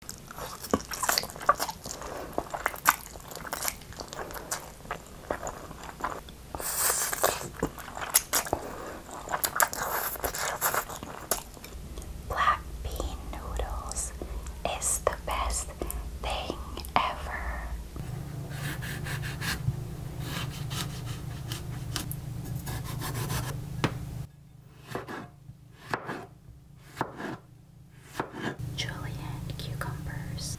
Black bean noodles is the best thing ever julienne cucumbers.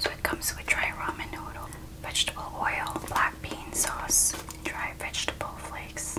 So it comes with dry ramen noodle, vegetable oil, black bean sauce, dry vegetable flakes.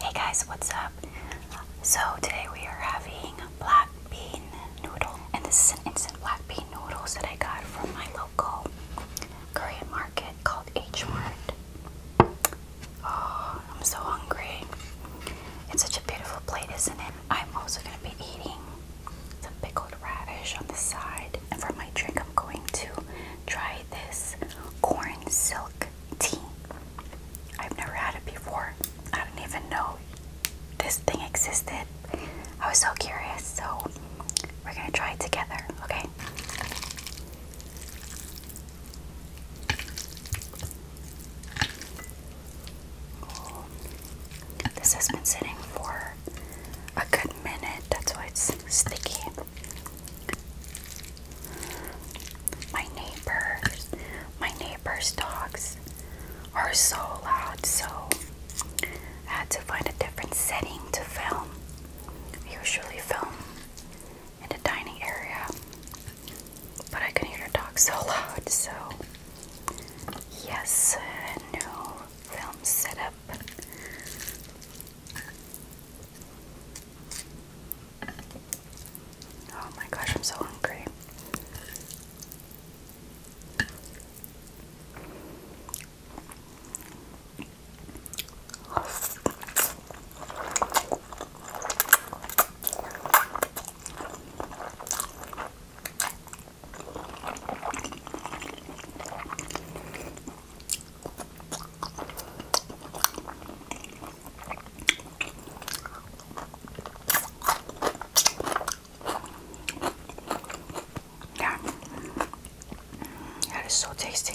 Hey guys, what's up? So today we are having black bean noodle, and this is an instant black bean noodles that I got from my local Korean market called H Mart. Oh, I'm so hungry. It's such a beautiful plate, isn't it? I'm also gonna be eating some pickled radish on the side, and for my drink, I'm going to try this corn silk tea. I've never had it before. I didn't even know this thing existed. I was so curious, so we're gonna try it together, okay? this has been sitting for a good minute. That's why it's sticky. My neighbors, my neighbors' dogs are so loud, so I had to find a different setting to film. usually film in the dining area, but I can hear the dogs so loud, so yes, new film setup. Oh my gosh, I'm so hungry. Yeah, that is so tasty.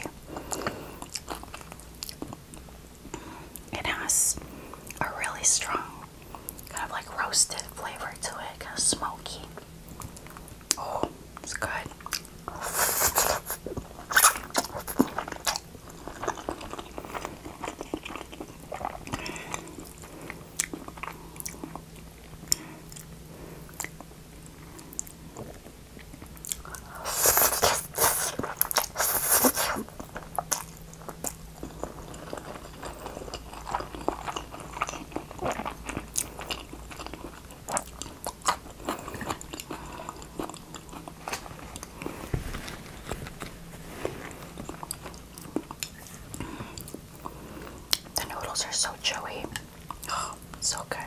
It has a really strong, kind of like roasted flavor to it, kind of smoky. Oh, it's good. The noodles are so chewy. Oh, so good.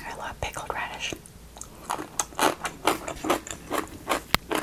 I love pickled radish.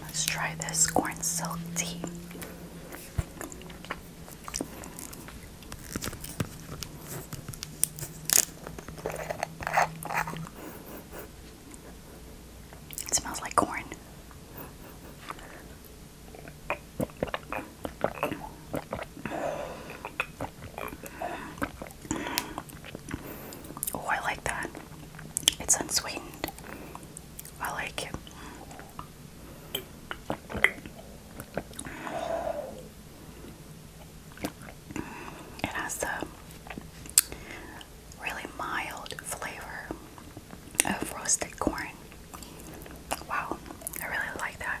Let's try this corn silk tea. It smells like corn. Oh, I like that. It's unsweetened. I like it. It has a really mild flavor of roasted corn. Wow, I really like that.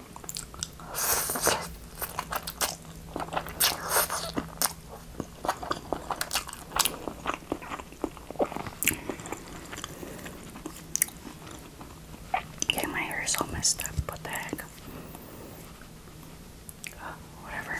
Okay, my hair is all messed up. What the heck? Oh, whatever.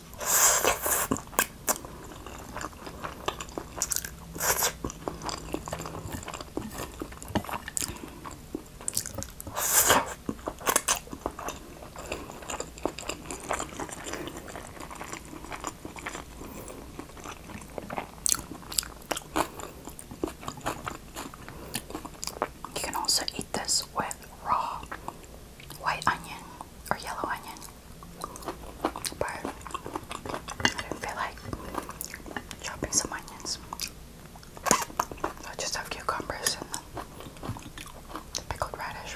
You can also eat this with raw white onion or yellow onion. But I didn't feel like chopping some onions. I just have cucumbers and pickled radish.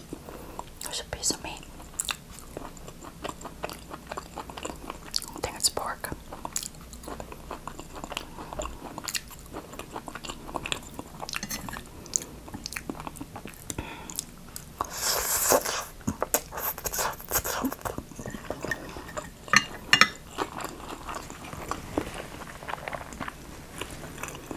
There's a piece of meat. I think it's pork.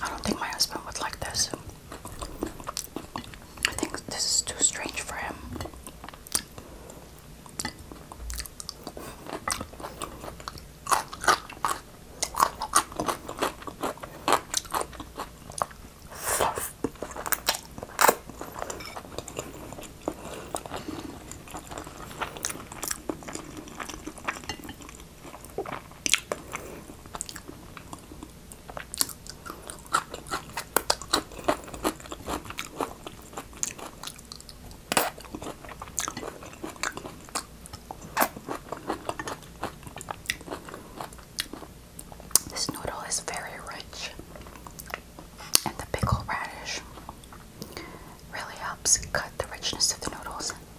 I don't think my husband would like this. I think this is too strange for him. This noodle is very rich, and the pickle radish really helps cut the richness of the noodles.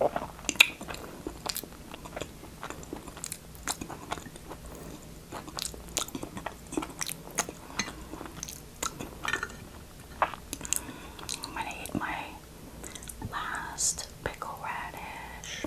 I'm gonna eat my last pickle radish.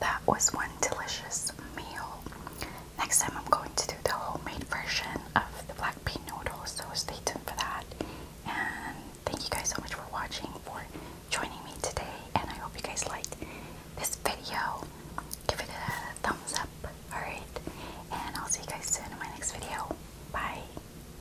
That was one delicious meal. Next time I'm going to do the homemade version of the black bean noodles, so stay tuned for that. And thank you guys so much for watching, for joining me today, and I hope you guys liked this video. Give it a thumbs up, alright? And I'll see you guys soon in my next video. Bye!